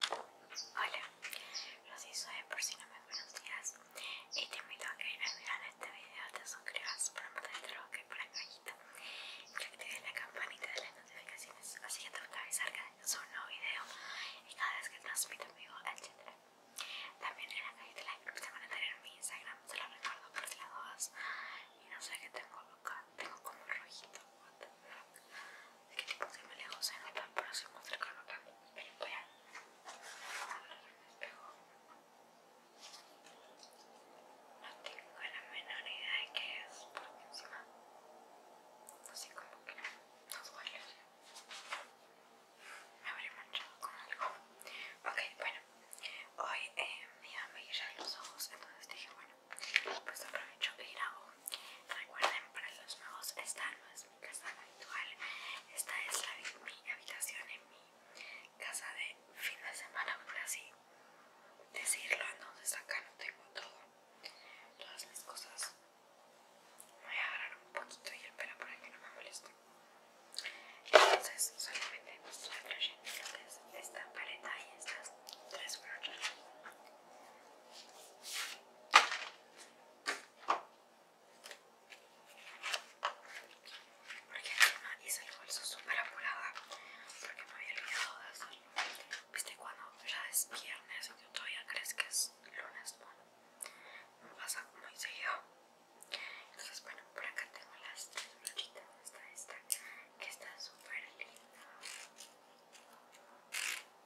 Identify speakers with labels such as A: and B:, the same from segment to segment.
A: Hola, los soy por si no me conocías y te invito a que vienes a mirar este video te suscribas para mantenerte lo que por la cajita y que actives la campanita de las notificaciones así que te voy a avisar que subo un nuevo video y cada vez que transmito en vivo, etc. También en la cajita de like, que van a tener en mi Instagram, se lo recuerdo por si las dudas y no sé qué tengo loca, tengo como rojito, es qué tipo que me lejos se nota? Próximo, cercano acá. Voy a No tengo la menor idea de qué es, porque encima, así como que nos duele. Me habría manchado con algo. Ok, bueno, hoy eh, me iba a ya los ojos, entonces dije, bueno, pues aprovecho que grabo. Recuerden, para los nuevos, esta no es mi casa habitual. Esta es la, mi habitación en mi casa de fin de semana, por así decirlo. Entonces acá no tengo todo. Todas mis cosas. Voy a agarrar un poquito y el pelo para que no me moleste. Entonces solamente me estoy esta paleta y estas tres brochas. Porque encima hice el bolso súper apurada porque me había olvidado de eso. Viste cuando ya es viernes y tú todavía crees que es lunes, bueno, me pasa muy seguido. Entonces, bueno, por acá tengo las tres brochitas. esta, esta que está súper linda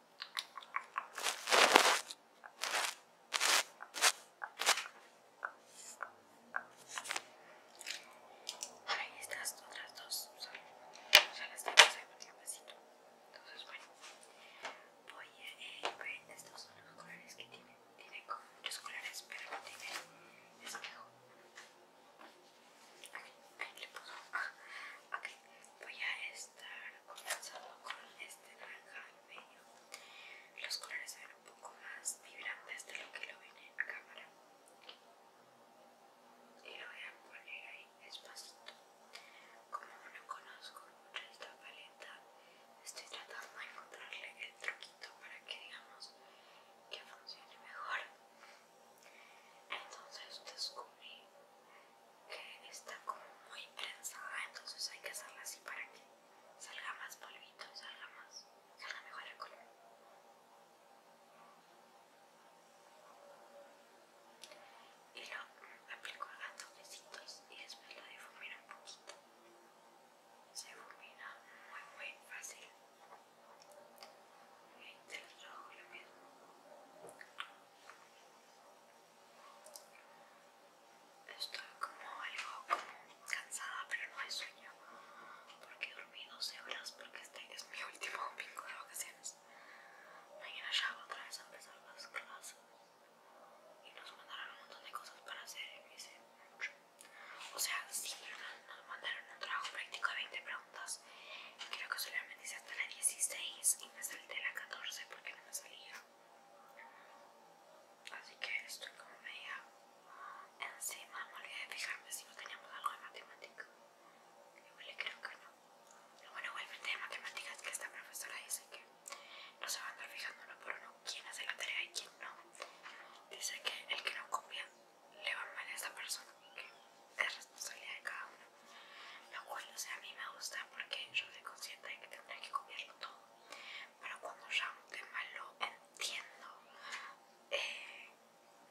A: ahí estas otras dos son, ya las tengo en un Entonces, bueno, voy a ver eh, estos son los colores que tiene tiene como muchos colores, pero no tiene espejo. Ah, voy a estar comenzando con este naranja medio. Los colores se ven un poco más vibrantes de lo que lo viene en cámara. Y lo voy a poner ahí despacito. Como no conozco mucho esta paleta, estoy tratando de encontrarle el truquito para que digamos que funcione mejor entonces descubrí que está como muy prensada entonces hay que hacerla así para que salga más polvito salga más salga mejor el color y lo aplico a toquecitos y después lo difumino un poquito se difumina muy muy fácil 20 de trabajo lo mismo. Estoy como algo cansada, pero no hay sueño. Porque dormí 12 horas porque este es mi último domingo de vacaciones. Mañana ya voy otra vez a empezar las clases. Y nos mandaron un montón de cosas para hacer y mucho. O sea, sí, nos mandaron un trabajo práctico de 20 preguntas. Creo que solamente hice hasta la 16 y me salté la 14 porque no me salía. Así que estoy como media encima. Me olvidé de fijarme si no teníamos algo de matemática yo creo que no. lo bueno, igualmente de matemáticas que esta profesora dice que no se va a andar fijando uno por uno quién hace la tarea y quién no. Dice que el que no copia le va mal a esta persona, que es responsabilidad de cada uno. Lo cual, no sea, a mí me gusta porque yo soy consciente de que tendré que copiarlo todo. Pero cuando ya un tema lo entiendo, eh,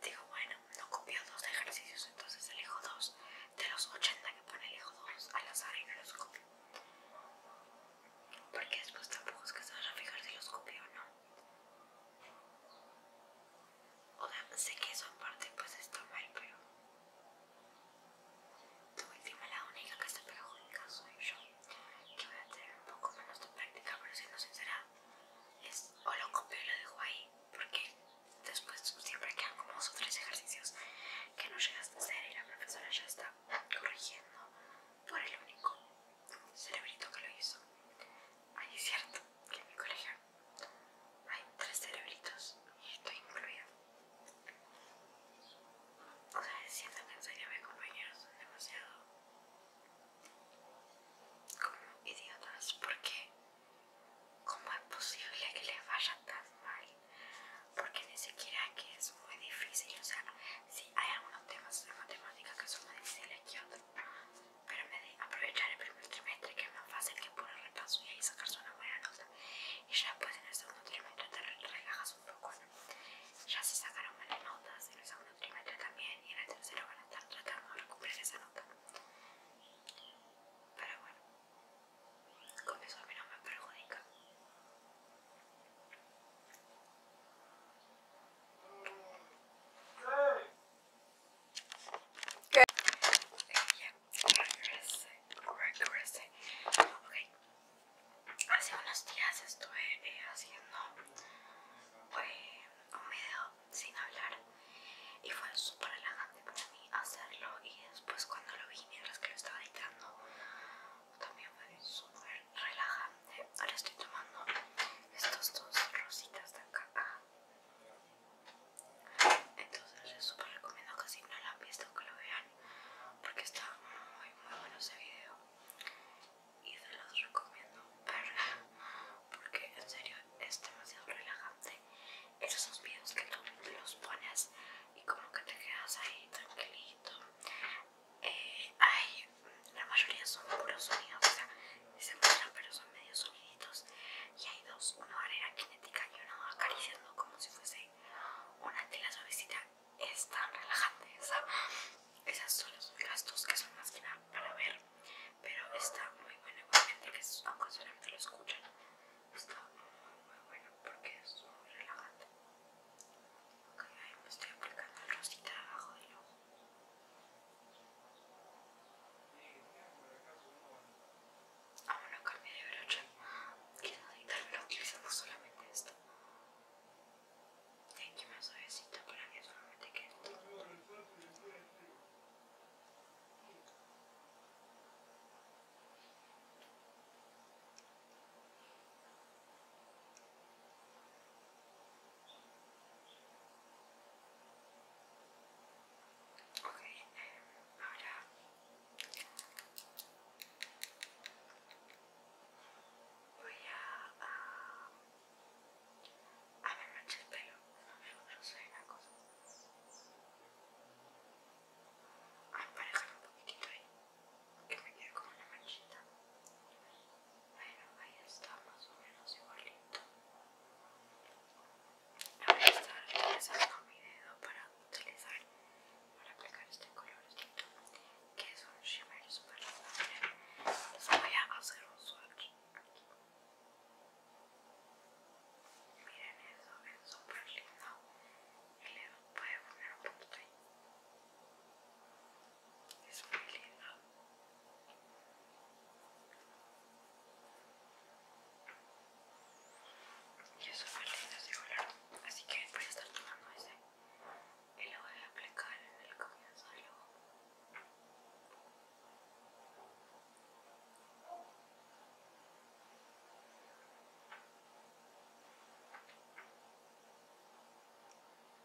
A: digo, bueno, no copio dos ejercicios, entonces elijo dos. De los 80 que pone, elijo dos al azar y no los copio. Porque después tampoco es que se vaya a fijar si los copio o no. O sea, sé que eso aparte pues está mal, pero... Tú última la única que está pegada soy yo, que voy a tener un poco menos de práctica, pero siendo sincera, es o lo copio y lo dejo ahí, porque después siempre quedan como dos o tres ejercicios que no llegas a hacer y la profesora ya está corrigiendo por el único cerebrito que lo hizo. Ahí es cierto que en mi colegio hay tres cerebritos y estoy incluido. O sea, siento que en serio mis compañeros son demasiado como idiotas porque ¿cómo es posible que les vaya tan mal? Porque ni siquiera que es muy difícil, o sea, si hay algunos temas de matemática que son más difíciles que otros pero de aprovechar el primer trimestre, que es más fácil que puro repaso y ahí sacarse una buena nota. Y ya después en el segundo trimestre te relajas un poco, Ya se sacaron buenas notas en el segundo trimestre también y en el tercero van a estar tratando de recuperar esa nota. Pero bueno, con eso a mí no me perjudica. Okay, Regrese, Okay. Hace unos días estuve haciendo un video sin hablar y fue súper relajante para mí hacerlo y después cuando lo vi mientras que lo estaba editando también fue súper relajante. Ahora estoy tomando estos dos rositas de acá. Entonces les super recomiendo que si no lo han visto que lo vean porque está muy muy bueno ese video y se los recomiendo verga porque en serio es demasiado relajante esos videos que tú los pones y como que te quedas ahí tranquilito eh, la mayoría son puros sonidos, o sea, se escuchan pero son medios soniditos. Y hay dos, una barrera cinética y una acariciando como si fuese una tela suavecita. Es tan relajante esa. Esas son las dos que son más que nada para ver, pero está muy bueno igualmente que aunque solamente lo escuchan. Está muy, muy bueno porque es muy relajante. Ok, ahí me estoy aplicando el rosita abajo del ojo. Vamos no carne de brocha. Quiero utilizamos solamente esto. que más suavecito para que solamente quede Ok, ahora voy a, ah, a, a ver mancha el pelo, no me gusta Ah, las cosas. A emparejar un poquitito ahí, que me quede como una manchita. Bueno, ahí está más o menos igualito. Ahora estar utilizando mi dedo para utilizar, para aplicar este colorcito, que es un shimmer super miren les voy a hacer un swatch Miren eso, es súper lindo. El dedo puede poner un poquito ahí es muy y Yo soy linda de así que voy a estar tomando ese y lo voy a aplicar en el comienzo del ojo.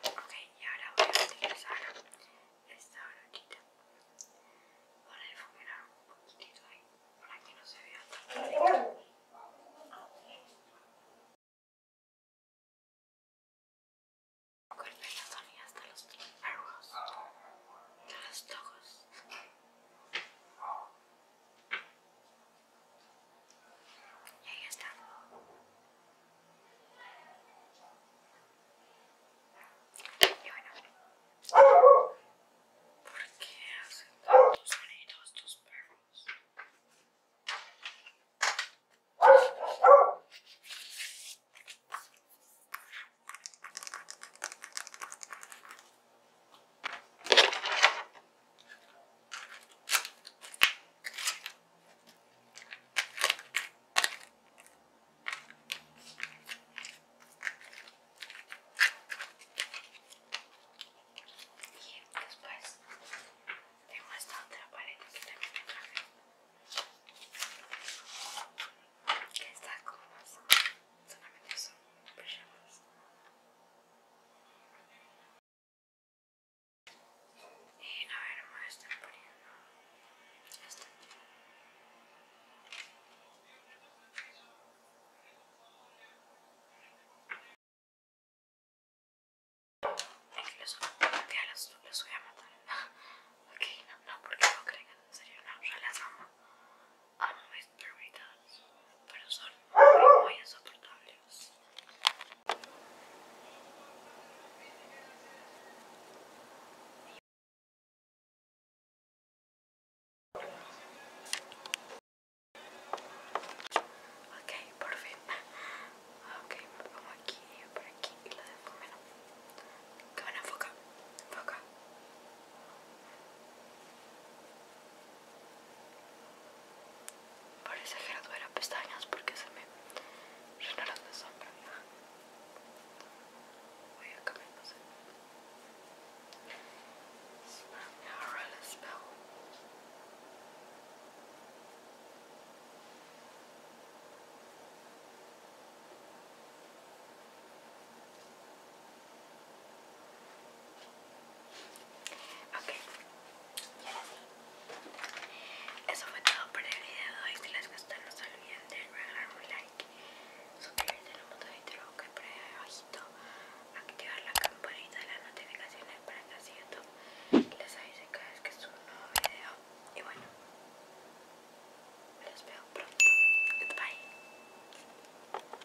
A: Ok, y ahora voy a utilizar esta brochita para difuminar un poquitito ahí, para que no se vea tan rico. Con el hasta los perros, de los ojos. Y ahí está. ¿Por qué hacen tantos sonidos estos perros? Y después tengo esta otra paleta que también me traje. Que está como más, solamente son pijamas. Y a ver, me están poniendo esta. Incluso ya los voy a matar. ok, no, no, porque no crean, en serio, no, yo las amo. Amo mis permitados, pero son muy, muy insoportables. Ok, por fin. Ok, me pongo aquí, por aquí y lo dejo menos. Cámara, enfoca, enfoca. Parece que no tuviera pestañas porque se me llenaron de sombra. Voy a cambiarse. Ahora Ok, y ahora sí. Eso fue todo por el video de hoy. Si les gustó, no se olviden de regalar un like, suscribirse al botón de YouTube que por ahí abajito, activar la campanita de las notificaciones para que así YouTube les avise cada vez que subo un nuevo video. Y bueno, les veo pronto. Goodbye.